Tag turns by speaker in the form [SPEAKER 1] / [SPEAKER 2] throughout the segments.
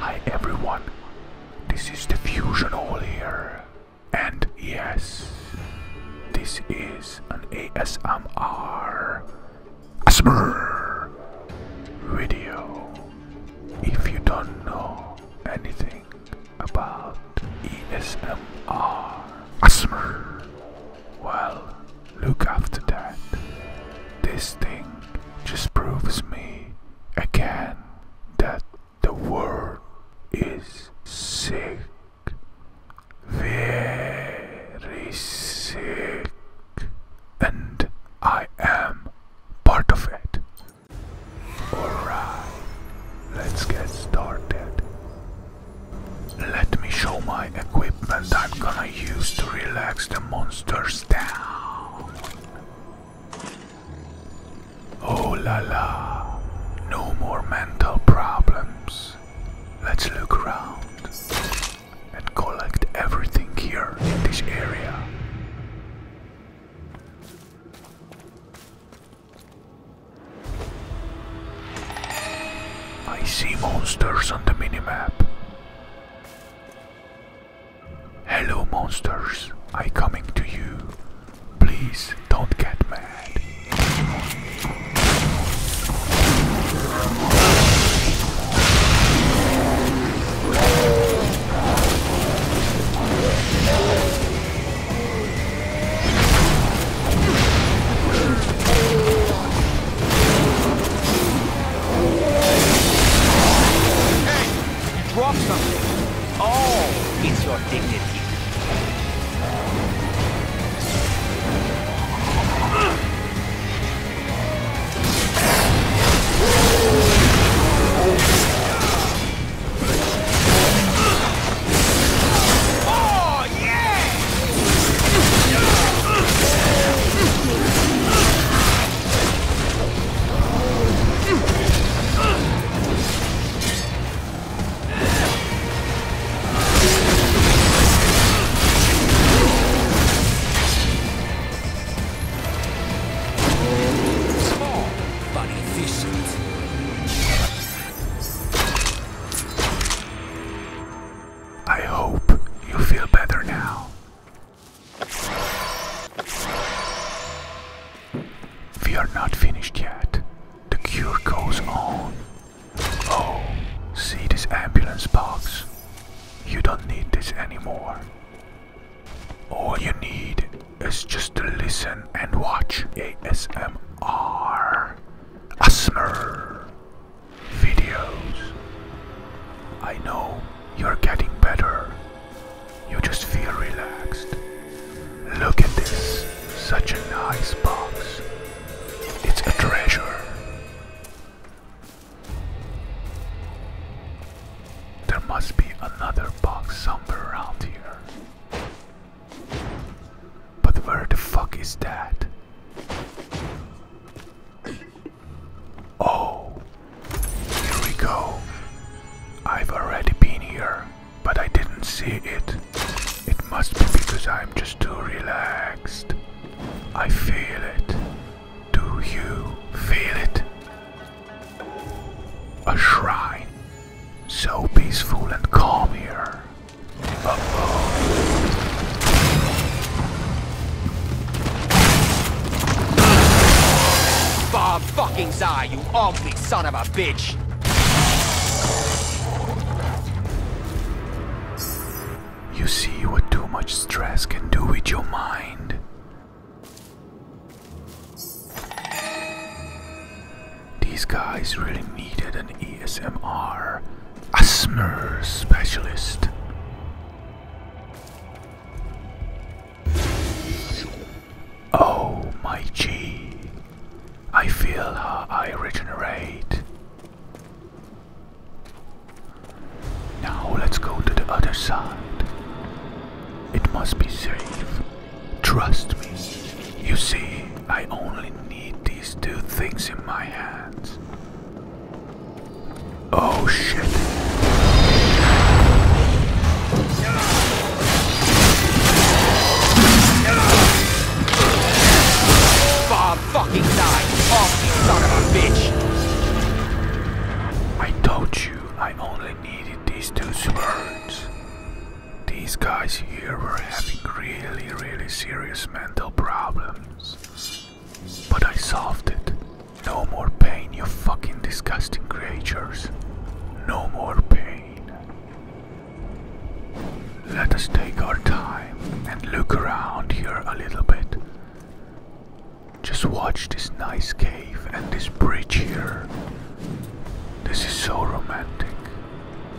[SPEAKER 1] Hi everyone, this is the Fusion All here, and yes, this is an ASMR ASMR video. If you don't know anything about ASMR ASMR, well, look after that. This thing just proves me again that the world is sick, very sick, and I am part of it. Alright, let's get started. Let me show my equipment I'm gonna use to relax the monsters down. Oh la la, no more mental problems. Let's look around and collect everything here in this area. I see monsters on the minimap. Hello, monsters. I coming to you. Please don't get mad. Hey! You dropped something! Oh, it's your dignity. I hope you feel better now. We are not finished yet. The cure goes on. Oh, see this ambulance box. You don't need this anymore. All you need is just to listen and watch ASMR. ASMR videos. I know you're getting better. You just feel relaxed. Look at this. Such a nice box. It's a treasure. There must be another box somewhere around here. But where the fuck is that? Oh, here we go. I've already been here, but I didn't see it. It must be because I'm just too relaxed. I feel it. Do you feel it? A shrine. So peaceful and calm here. Uh Bob fucking Zai, you ugly son of a bitch! You see what too much stress can do with your mind. These guys really needed an ESMR, a specialist. Oh, my G. I feel I regenerate. Now let's go to the other side. It must be safe. Trust me. You see, I only need these two things in my hands. Oh shit. Bob fucking died. Off, you son of a bitch. I told you I only needed these two swords. These guys here were having really, really serious mental problems. But I solved it. No more pain, you fucking disgusting creatures. No more pain. Let us take our time and look around here a little bit. Just watch this nice cave and this bridge here. This is so romantic,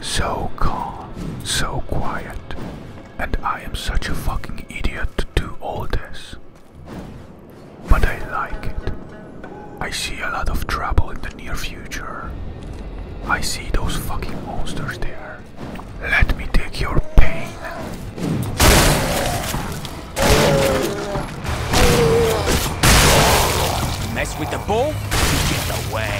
[SPEAKER 1] so calm, so quiet and I am such a fucking idiot to do all this. But I like it. I see a lot of trouble in the near future. I see those fucking monsters there. Let me take your pain. Mess with the ball, you get away.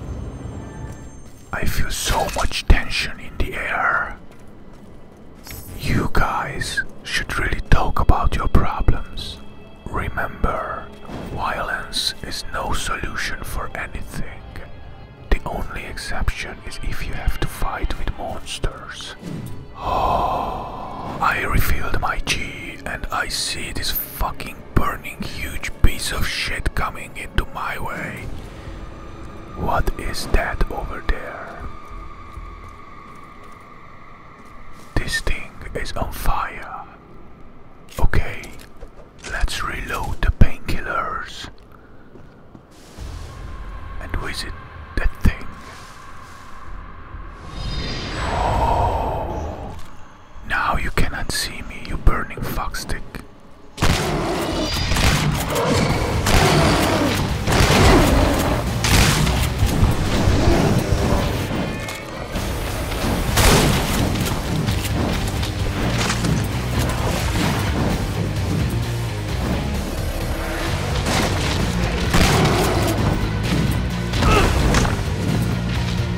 [SPEAKER 1] I feel so much tension in the air. You guys should really talk about your problems. Remember, violence is no solution for anything. The only exception is if you have to fight with monsters. Oh, I refilled my G and I see this fucking burning huge piece of shit coming into my way. What is that over there? This thing is on fire. Okay, let's reload the painkillers. And with it, that thing. Oh, now you cannot see me, you burning fox stick.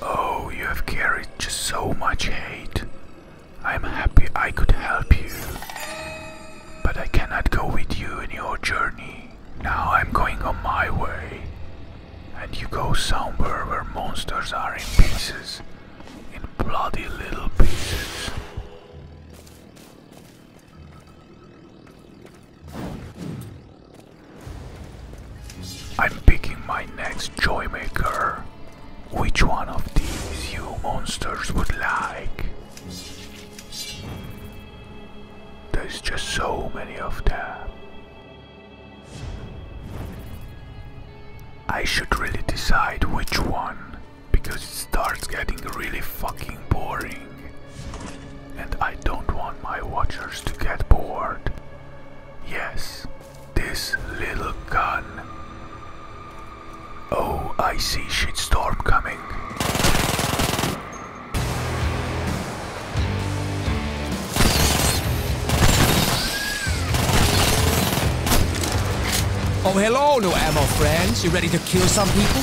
[SPEAKER 1] Oh, you have carried just so much hate. I'm happy I could help you. But I cannot go with you in your journey. Now I'm going on my way. And you go somewhere where monsters are in pieces. In bloody little pieces. I'm picking my next joy maker. Which one of these you monsters would like? There's just so many of them. I should really decide which one, because it starts getting really fucking boring and I don't want my watchers to get bored. Yes, this little gun. Oh, I see shitstorm coming. Oh, hello, new ammo friends. You ready to kill some people?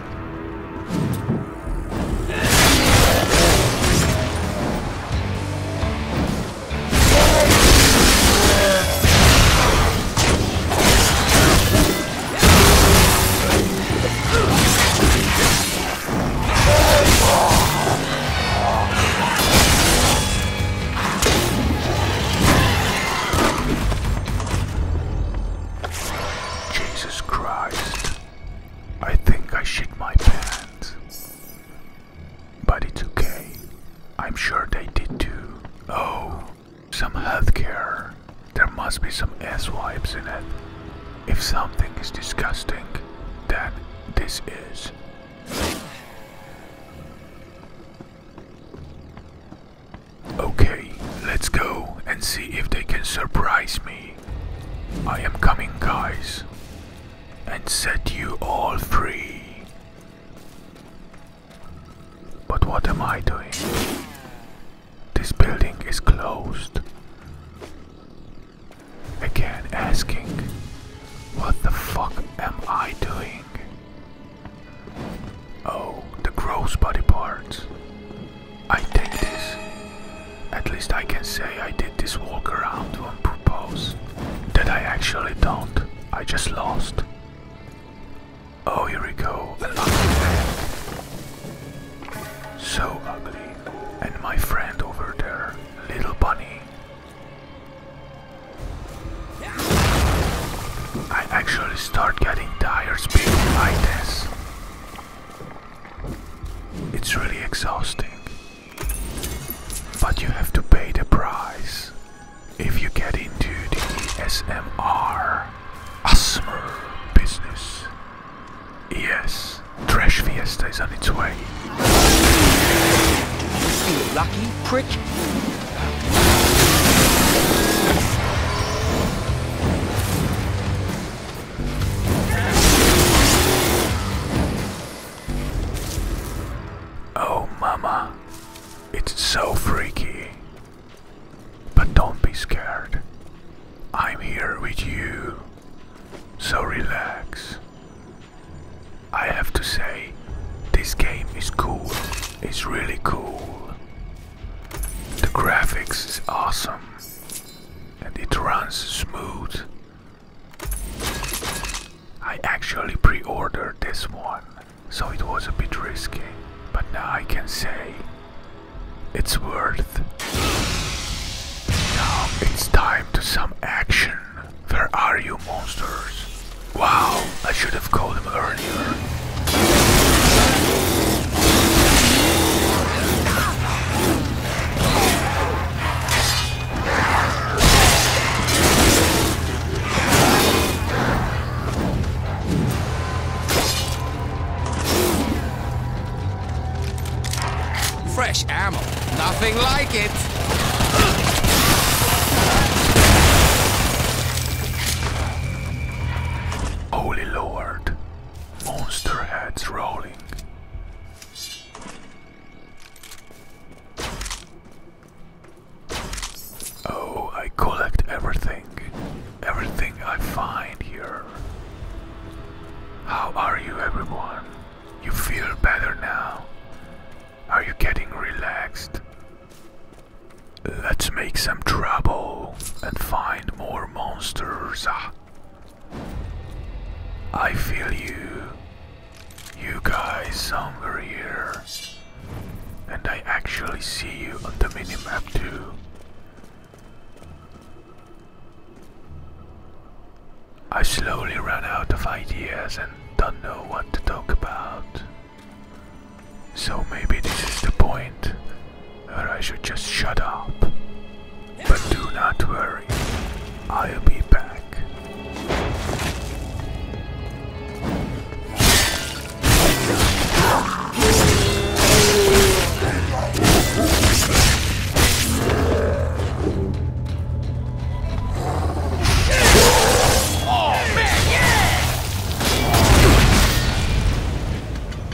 [SPEAKER 1] Jesus Christ. I think I shit my pants. But it's okay. I'm sure they did too. Oh, some healthcare. There must be some ass wipes in it. If something is disgusting, then this is. Okay, let's go and see if they can surprise me. I am coming, guys, and set you all free. But what am I doing? This building is closed. Again, asking, what the fuck am I doing? Oh, the gross body parts. I take this. At least I can say I did this walk around on purpose. That I actually don't. I just lost. Oh, here we go. So ugly. And my friend over there, little bunny. I actually start getting tired speaking like this. It's really exhausting. But you have to pay the price if you get into the ESMR ASMR business. Yes, Trash Fiesta is on its way. You lucky prick! Oh, mama, it's so freaky. But don't be scared. I'm here with you. So relax. I have to say, this game is cool. It's really cool. The graphics is awesome and it runs smooth. I actually pre-ordered this one, so it was a bit risky, but now I can say it's worth. Now it's time to some action. Where are you monsters? Wow, I should have called them earlier. Fresh ammo. Nothing like it. Holy Lord. Monster heads rolling. Oh, I collect everything. Everything I find here. How are you, everyone? You feel better now? Are you getting relaxed? Let's make some trouble and find more monsters. Ah. I feel you. You guys somewhere here. And I actually see you on the minimap too. I slowly ran out of ideas and don't know what to talk about. So maybe this is the point where I should just shut up. But do not worry, I'll be back. Oh,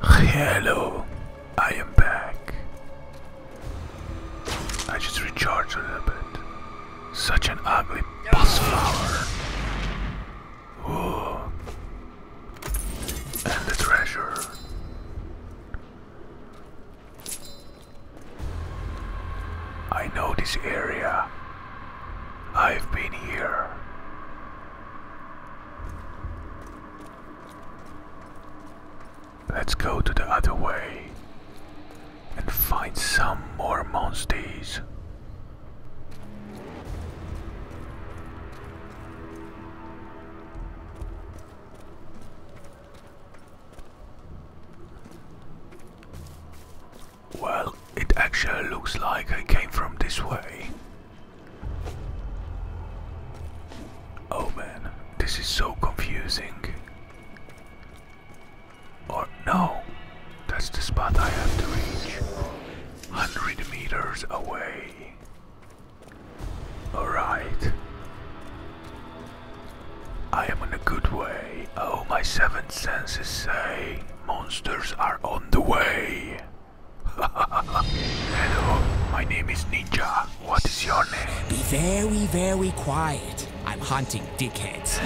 [SPEAKER 1] Hello, I am back. I just recharged a little bit. Such an ugly bus flower. Ooh. And the treasure. I know this area. I've been here. Let's go to the other way and find some more monsters. Well, it actually looks like I came from this way. Oh man, this is so confusing. Or oh, no, that's the spot I have to reach. 100 meters away. Alright. I am in a good way. Oh, my seventh senses say monsters are on the way. Hello, my name is Ninja. What is your name? Be very, very quiet. I'm hunting dickheads.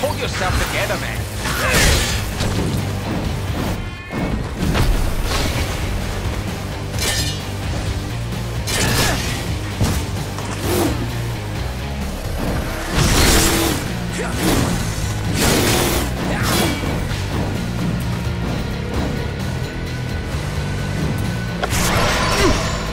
[SPEAKER 1] Pull yourself together, man.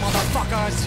[SPEAKER 1] motherfuckers!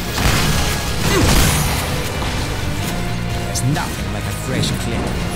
[SPEAKER 1] There's nothing like a fresh clean.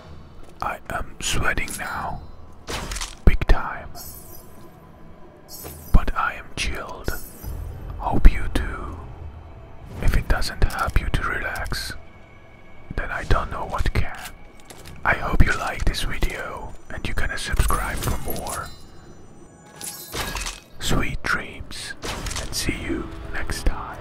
[SPEAKER 1] I am sweating now, big time. But I am chilled. Hope you do. If it doesn't help you to relax, then I don't know what can. I hope you like this video and you gonna subscribe for more. Sweet dreams and see you next time.